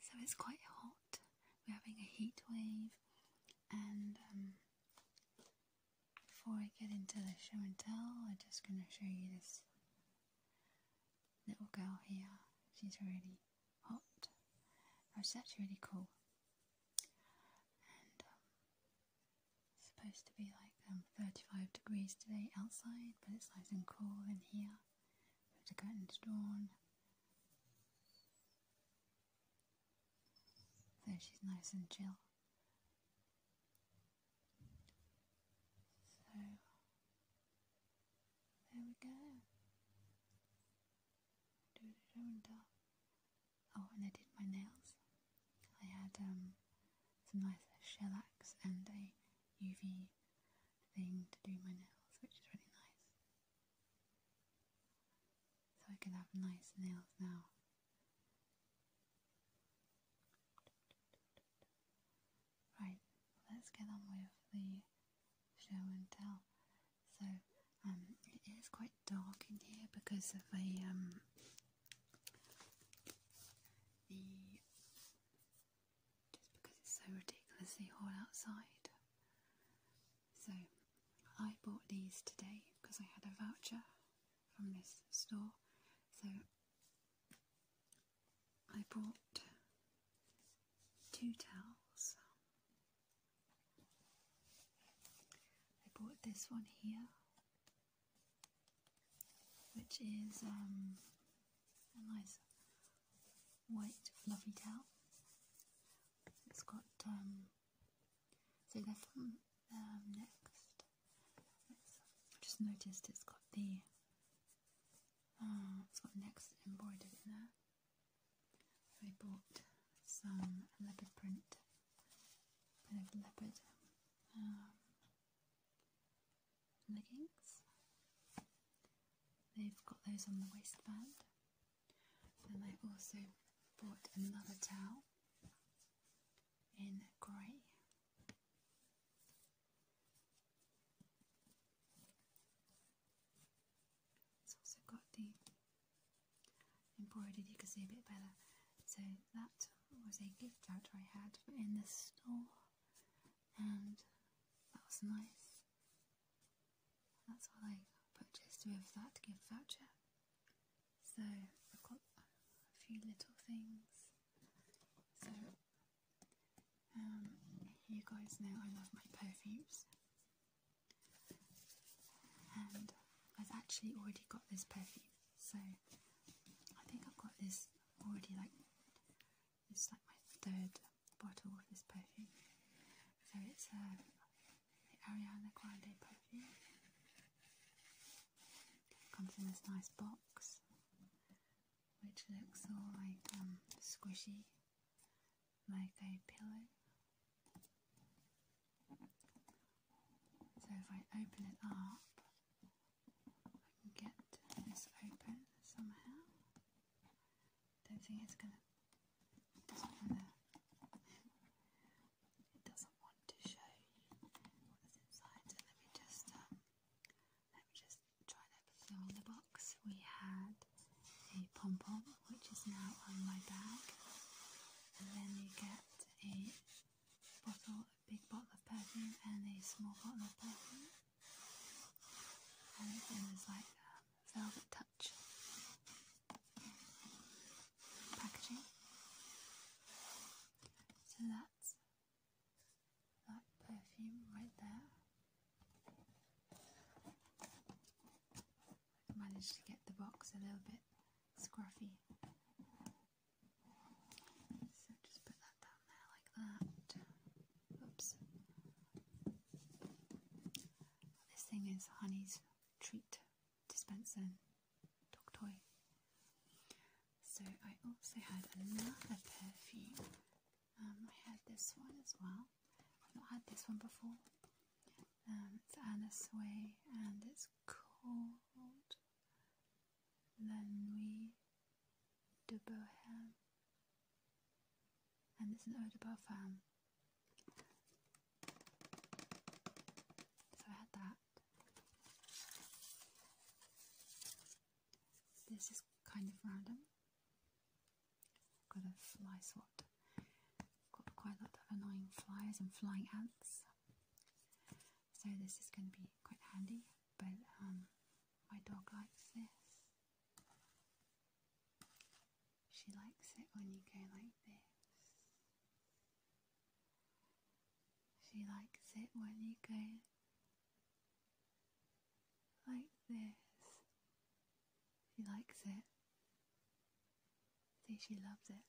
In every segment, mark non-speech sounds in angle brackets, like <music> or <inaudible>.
So it's quite hot. We're having a heat wave, and um, before I get into the show and tell, I'm just going to show you this little girl here. She's really hot. Oh, it's actually really cool. And um, it's supposed to be like um, 35 degrees today outside, but it's nice and cool in here put the curtains drawn. So she's nice and chill. So there we go. Oh, and I did my nails. I had um, some nice shellacs and a UV thing to do my nails, which is really nice. So I can have nice nails now. Right, let's get on with the show and tell. So, um, it is quite dark in here because of a, um, the just because it's so ridiculously hot outside. So I bought these today because I had a voucher from this store. So I bought two towels. I bought this one here, which is um, a nice white fluffy tail. It's got, um, so they're from um, Next. I just noticed it's got the, uh, it's got Next embroidered in there. I bought some leopard print, bit of leopard, um, leggings. They've got those on the waistband. Then I also bought another towel in grey. It's also got the embroidered, you can see a bit better. So that was a gift voucher I had in the store, and that was nice. That's all I purchased with that gift voucher. So I've got a few little things. So um, you guys know I love my perfumes. And I've actually already got this perfume. So I think I've got this already like it's like my third bottle of this perfume. So it's a uh, the Ariana Grande perfume. Comes in this nice box, which looks all like um, squishy, like a pillow. So if I open it up, I can get this open somehow. Don't think it's gonna. It doesn't wanna. show you what's inside. let me just um, let me just try and the box. We had a pom pom, which is now on my bag, and then you get a bottle, a big bottle of perfume, and a small bottle of perfume. And Everything is like velvet touch. Packaging. So that's that perfume right there. managed to get the box a little bit scruffy. So just put that down there like that. Oops. This thing is Honey's treat dispenser dog toy. So I also had another perfume. Um, I had this one as well. I've not had this one before. Um, it's Anna Sway and it's called La Nuit de Bohème and it's an ode de parfum. So I had that. This is kind of random. Got a fly swat. Got quite a lot of annoying flies and flying ants. So this is going to be quite handy, but um, my dog likes this. She likes it when you go like this. She likes it when you go like this. She likes it. See, she loves it.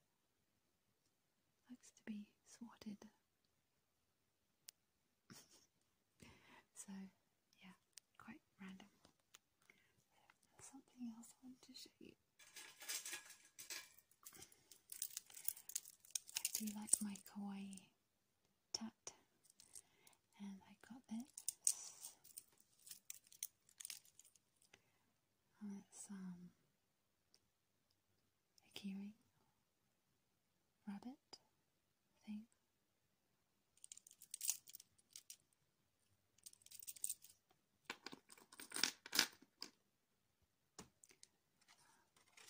Likes to be swatted so, yeah, quite random. something else I wanted to show you. I do like my kawaii tat, and I got this. And it's um a keyring rabbit thing.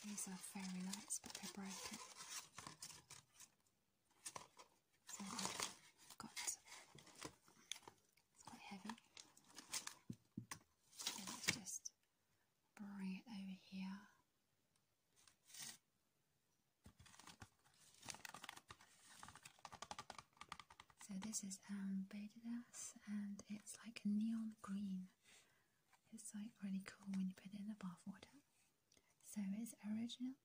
These are very nice, but they're broken. So I've got it's quite heavy. So let's just bring it over here so this is um, Badidas and it's like a neon green. It's like really cool when you put it in the bath water. So it's original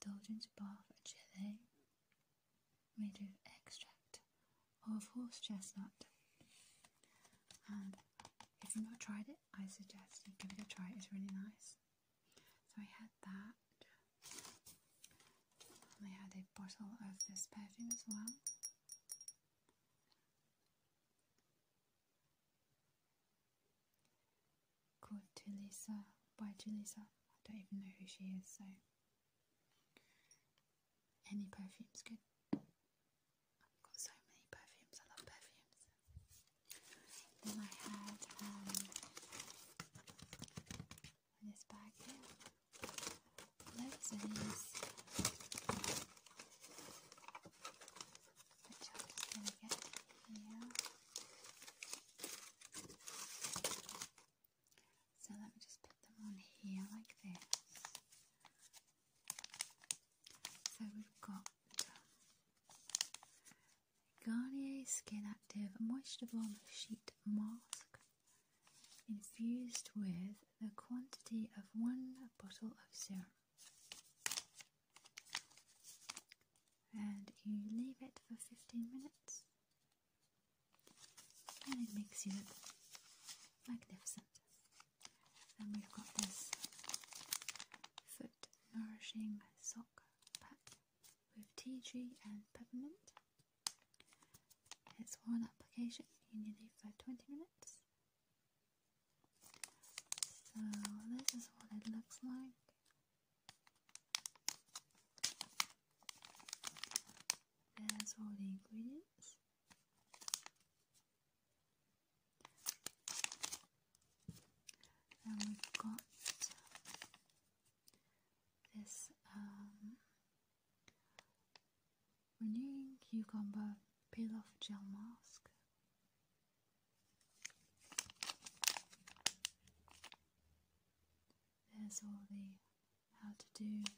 indulgent bath gelée made with extract of horse chestnut. And you not tried it, I suggest you give it a try. It's really nice. So I had that. And I had a bottle of this perfume as well. Called Tulisa by Tulisa. I don't even know who she is, so any perfume's good. I've got so many perfumes. I love perfumes. Then I had um, this bag here. Loads of these. Which I'm going to get here. So let me just put them on here like this. So we've got Garnier Skin Active Moisture Bomb Sheet Mask infused with the quantity of one bottle of serum. And you leave it for 15 minutes, and it makes you look magnificent. And we've got this foot nourishing sock pack with tea tree and peppermint. It's one application, you need it for 20 minutes. So this is what it looks like. There's all the ingredients. And we've got this um, renewing cucumber peel off gel mask. There's all the how to do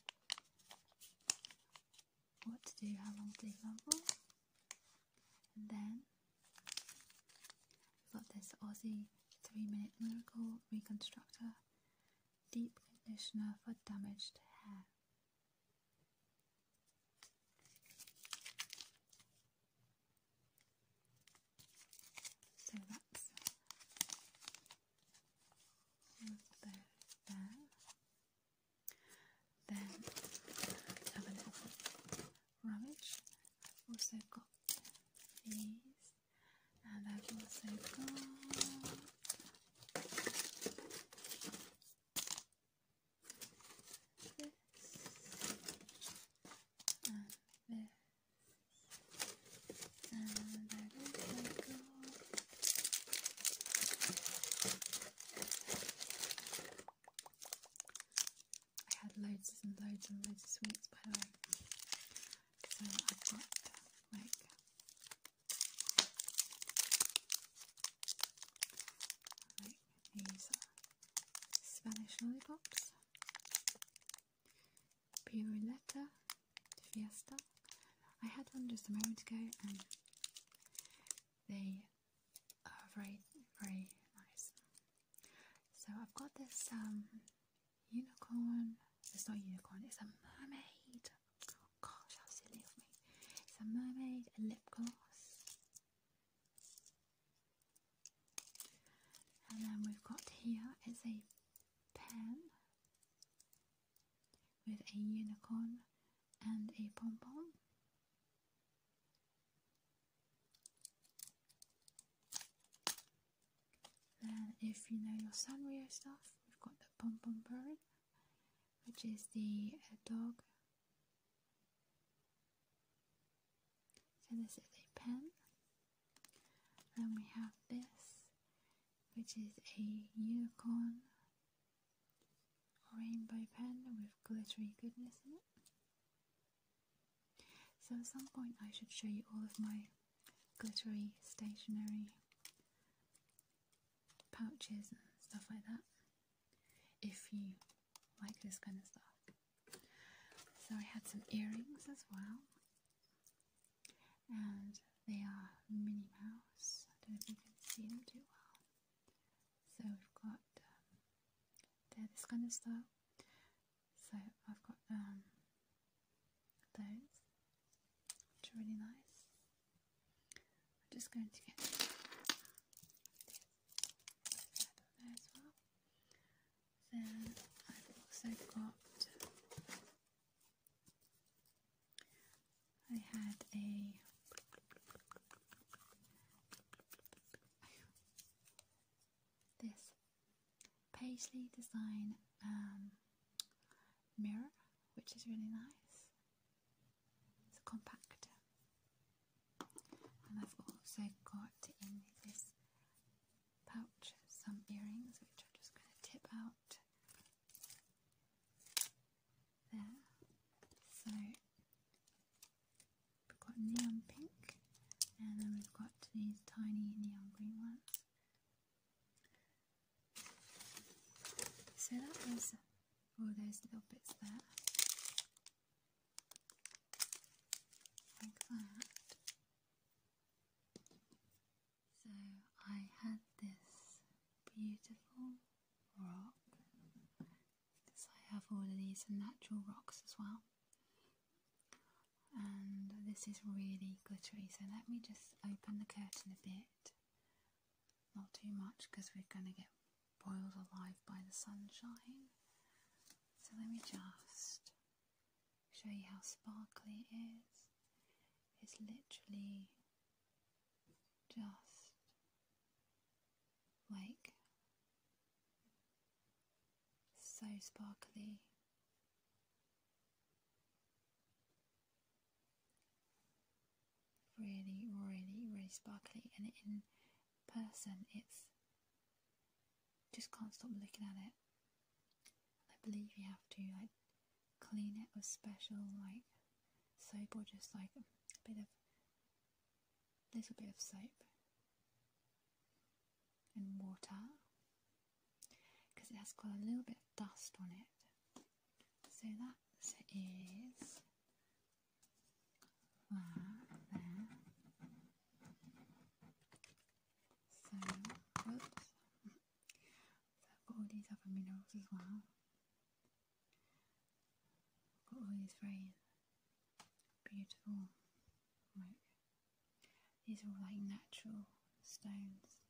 what to do, how long to leave them for. And then we've got this Aussie 3 Minute Miracle Reconstructor Deep Conditioner for Damaged Hair. So that's there. Then another rubbish. I've also got these, and I've also got. This and this. And I also got I had loads and loads and loads of sweets by the way. So I've got like these Spanish lollipops, Piruleta, Fiesta. I had one just a moment ago and they very, uh, very nice. So I've got this um, unicorn. It's not unicorn. It's a mermaid. gosh, how silly of me! It's a mermaid a lip gloss. And then we've got here is a pen with a unicorn and a pom pom. Then if you know your Sanrio stuff, we've got the Pom Pom Bird, which is the uh, dog. So this is a pen. Then we have this, which is a unicorn rainbow pen with glittery goodness in it. So at some point I should show you all of my glittery stationery pouches and stuff like that if you like this kind of stuff. So I had some earrings as well and they are Minnie Mouse. I don't know if you can see them too well. So we've got um, they're this kind of style. So I've got um, those, which are really nice. I'm just going to get this there as well. Then I've also got I had a this paisley design um, mirror, which is really nice. It's a compact, and I've also got in this pouch some earrings, which I'm just going to tip out there. So we've got neon pink, and then we've got these tiny neon green ones. So that was all oh, those little bits there. Like that. So I had this beautiful rock. So I have all of these natural rocks as well. And this is really glittery, so let me just open the curtain a bit. Not too much because we're going to get boiled alive by the sunshine. So let me just show you how sparkly it is. It's literally just like so sparkly. Really, really, really sparkly, and in person, it's just can't stop looking at it. I believe you have to like clean it with special like soap just like a bit of little bit of soap and water because it has got a little bit of dust on it. So that is that there. So, all these other minerals as well. Got all these very beautiful These are all like natural stones.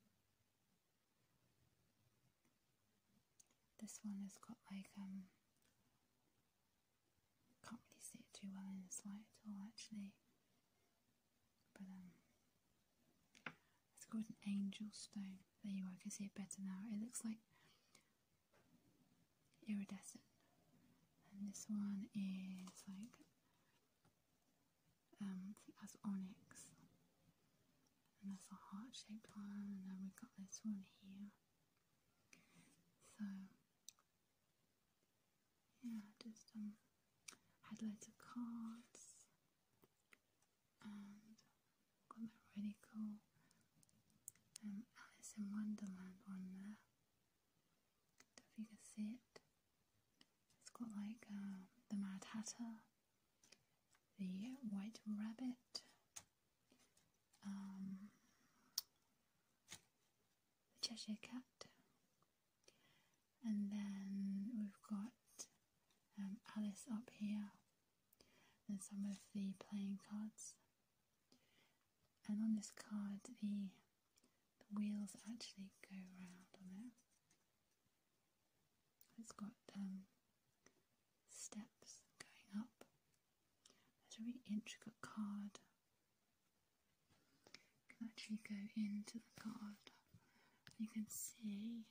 This one has got like um can't really see it too well in this light at all actually. But um it's called an angel stone. There you go. I can see it better now. It looks like iridescent. And this one is like, um, I onyx. And that's a heart shaped one. And then we've got this one here. So, yeah, just um, had loads of cards and got the really cool Alice in Wonderland one there. it. has got like um, the Mad Hatter, the White Rabbit, um, the Cheshire Cat, and then we've got um, Alice up here and some of the playing cards. And on this card, the, wheels actually go round on it. It's got um, steps going up. It's a really intricate card. You can actually go into the card. You can see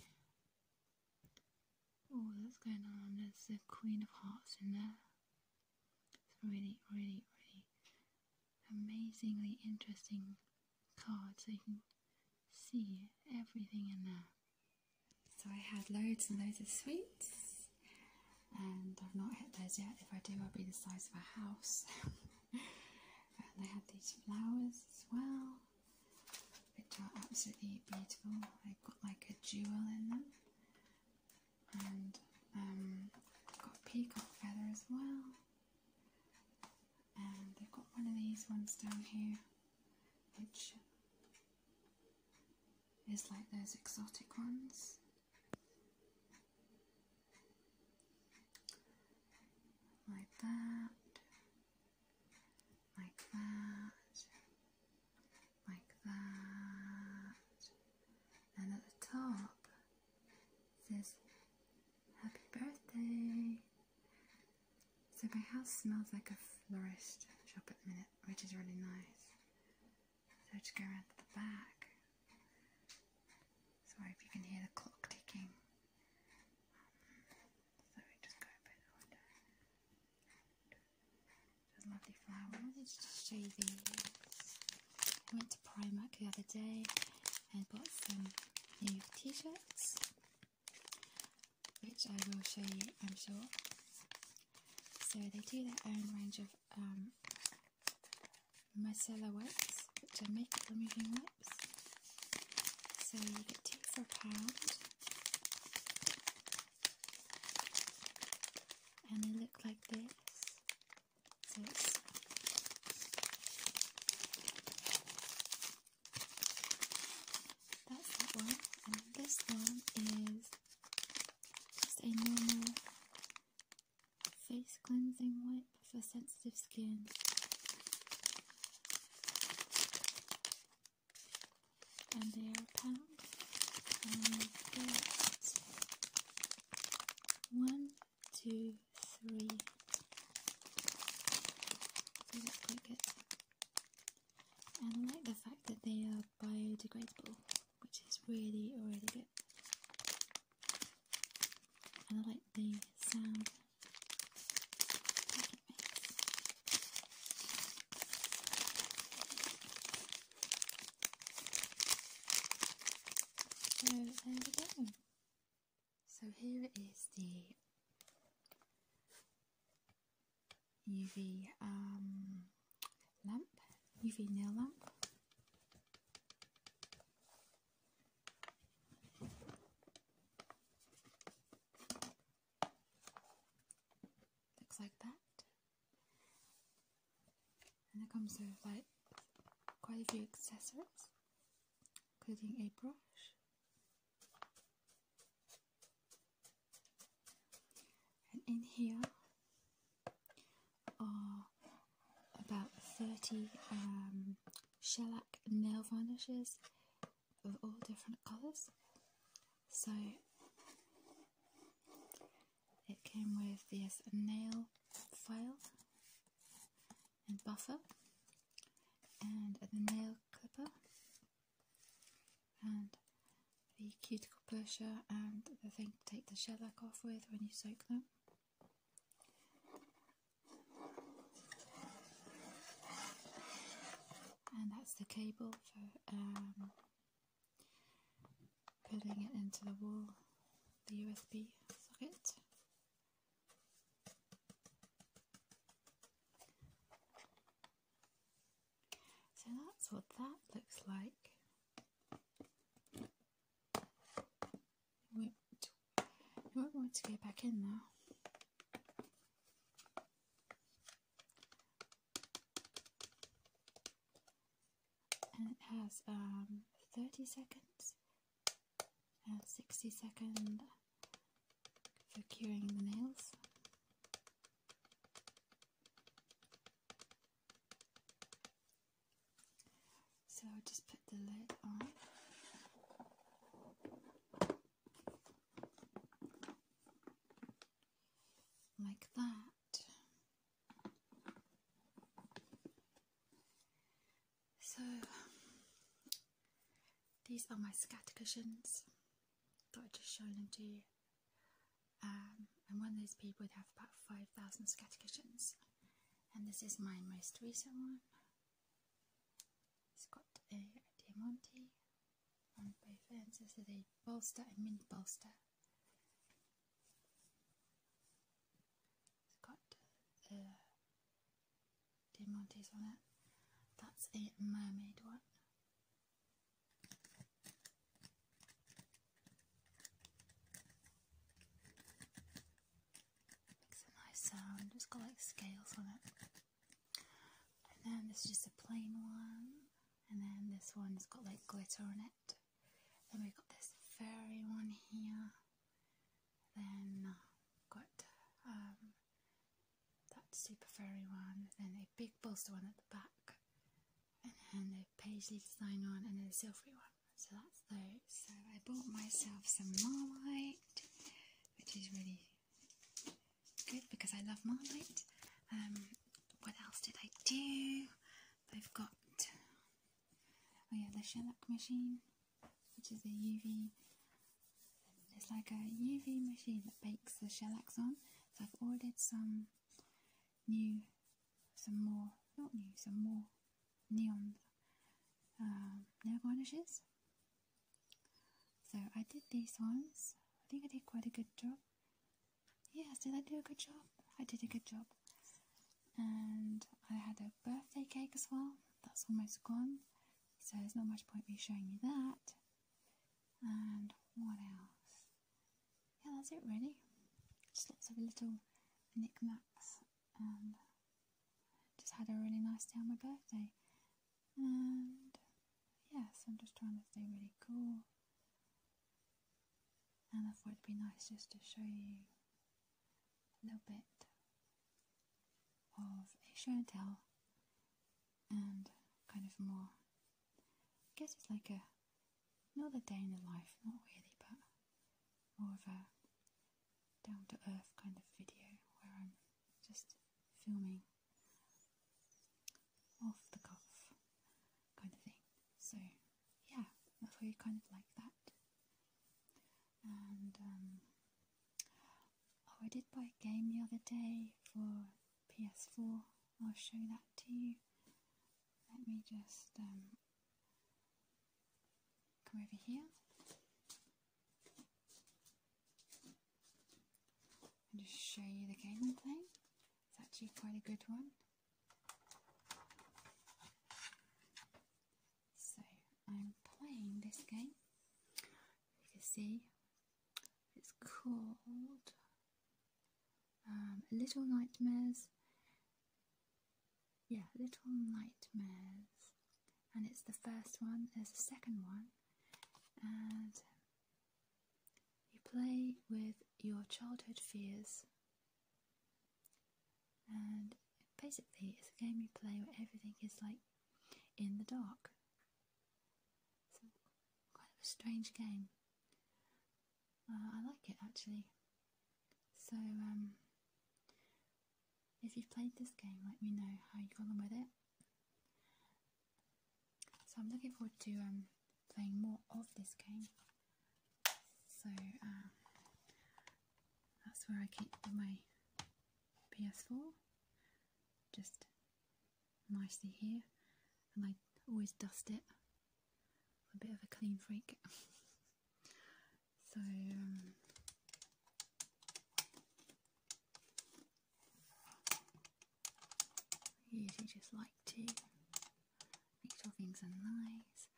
Oh, what's going on. There's the Queen of Hearts in there. It's really, really, really amazingly interesting card. So you can see everything in there. So I had loads and loads of sweets, and I've not hit those yet. If I do, I'll be the size of a house. <laughs> and I had these flowers as well which are absolutely beautiful. They've got like a jewel in them, and um, got peacock feather as well. And they've got one of these ones down here, which is like those exotic ones. Like that, like that, like that, and at the top says happy birthday. So my house smells like a florist shop at the minute, which is really nice. So I just go around to the back. Sorry if you can hear the clock ticking. So we just go a bit harder. There's lovely flowers to show you these. I went to Primark the other day and bought some new t-shirts, which I will show you, I'm sure. So they do their own range of um, micellar wipes, which are makeup removing wipes. So you get two for a pound and they look like this. So that's that one, and this one is just a normal face cleansing wipe for sensitive skin and they are pink One, two, three. They look quite good. I like the fact that they are biodegradable, which is really, really good. And I like the sound so there we go. So here is the UV um, lamp, UV nail lamp. Looks like that. And it comes with like quite a few accessories, including a brush. And in here are about 30 um, shellac nail varnishes of all different colours. So it came with this nail file and buffer and the nail clipper and the cuticle pusher and the thing to take the shellac off with when you soak them. And that's the cable for um, putting it into the wall, the USB socket. So that's what that looks like. I might want to get back in now. And it has um, 30 seconds and seconds for curing the nails. So I'll just put the lid on like that. So, these are my scatter cushions that I just showed them to you. I'm um, one of those people that have about 5,000 scatter cushions, and this is my most recent one. It's got a, a diamante on both ends. This is a bolster and mini bolster. It's got uh, diamantes on it. That's a mermaid one. Makes a nice sound. it got like scales on it. And then this is just a plain one. And then this one's got like glitter on it. Then we've got this fairy one here. Then uh, got um, that super fairy one. Then a big bolster one at the back. And then a paisley design one and then a silvery one. So that's those. So I bought myself some Marmite, which is really Good, because I love Marmite. Um, what else did I do? I've got, oh yeah, the shellac machine, which is a UV, it's like a UV machine that bakes the shellac on. So I've ordered some new, some more, not new, some more neon um, nail varnishes so I did these ones. I think I did quite a good job. Yes, did I do a good job? I did a good job. And I had a birthday cake as well. That's almost gone. So there's not much point me showing you that. And what else? Yeah, that's it really. Just lots of little knickknacks just had a really nice day on my birthday. And yes, I'm just trying to stay really cool. And I thought it'd be nice just to show you a little bit of a show and tell and kind of more. I guess it's like a another day in the life, not really, but more of a down to earth kind of video where I'm just filming off the cuff kind of thing. So, yeah, that's why you kind of like that. And, um, oh, I did buy a game the other day for PS4. I'll show that to you. Let me just, um, Come over here. And just show you the game I'm playing. It's actually quite a good one. So I'm playing this game. You can see it's called um, Little Nightmares. Yeah, Little Nightmares and it's the first one, there's a second one, and you play with your childhood fears. And basically, it's a game you play where everything is like in the dark. It's quite a strange game. Uh, I like it actually. So, um, if you've played this game, let me know how you got on with it. So I'm looking forward to um, playing more of this game. So uh, that's where I keep my PS4, just nicely here, and I always dust it. a bit of a clean freak. <laughs> So um, just like to make sure things are nice.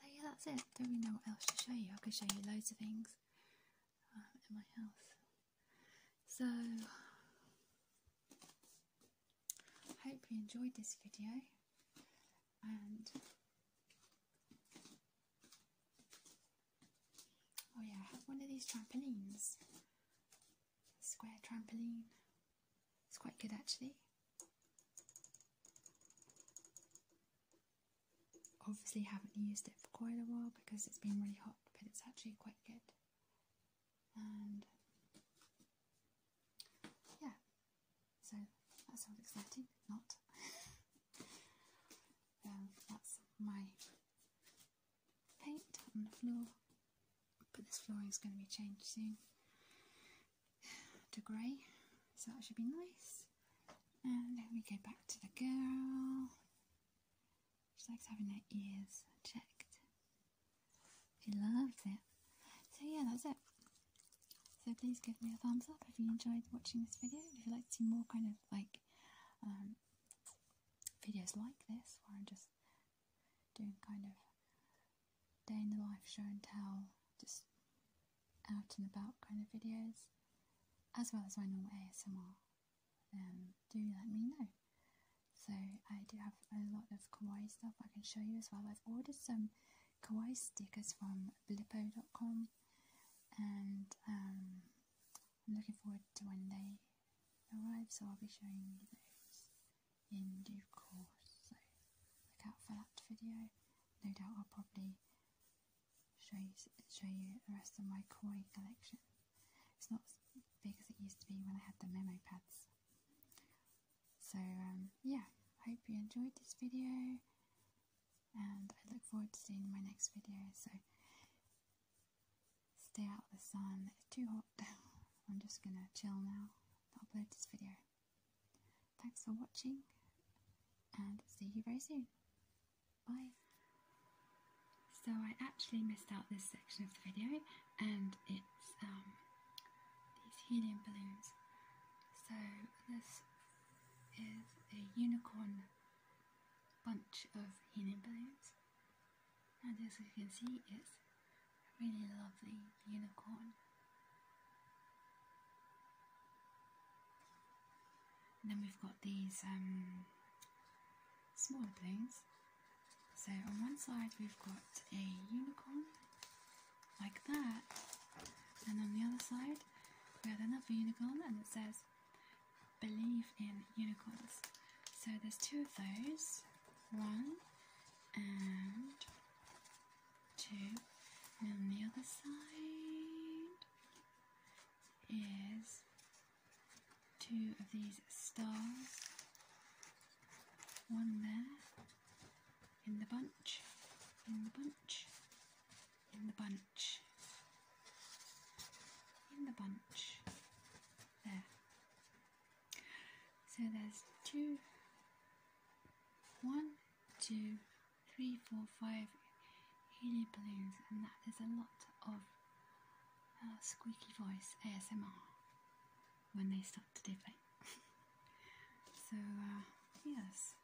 So yeah, that's it. Don't really know what else to show you. I could show you loads of things um, in my house. So I hope you enjoyed this video and Oh yeah, I have one of these trampolines. Square trampoline. It's quite good actually. Obviously haven't used it for quite a while because it's been really hot, but it's actually quite good. And yeah, so that sounds exciting, not. <laughs> that's my paint on the floor, but this flooring is going to be changed soon to grey, so that should be nice. And then we go back to the girl. She likes having her ears checked. She loves it. So yeah, that's it. So please give me a thumbs up if you enjoyed watching this video. If you'd like to see more kind of like um, videos like this where I'm just doing kind of day in the life show and tell, just out and about kind of videos, as well as my normal ASMR. Um, do let me know. So I do have a lot of kawaii stuff I can show you as well. I've ordered some kawaii stickers from blippo.com and um, I'm looking forward to when they arrive so I'll be showing you those in due course so look out for that video no doubt I'll probably show you, show you the rest of my koi collection it's not as big as it used to be when I had the memo pads so um, yeah hope you enjoyed this video and I look forward to seeing my next video. So stay out of the sun. It's too hot. <laughs> I'm just gonna chill now. I'll Upload this video. Thanks for watching, and see you very soon. Bye. So I actually missed out this section of the video, and it's um, these helium balloons. So this is a unicorn bunch of helium balloons. And as you can see, it's a really lovely unicorn. then we've got these um, smaller balloons. So on one side we've got a unicorn, like that, and on the other side we have another unicorn and it says believe in unicorns. So there's two of those, one and two. And the other side is two of these stars, one there in the bunch, in the bunch, in the bunch, in the bunch, there. So there's two. One, two, three, four, five helium balloons, and that is a lot of uh, squeaky voice ASMR when they start to deflate. <laughs> so, uh, yes.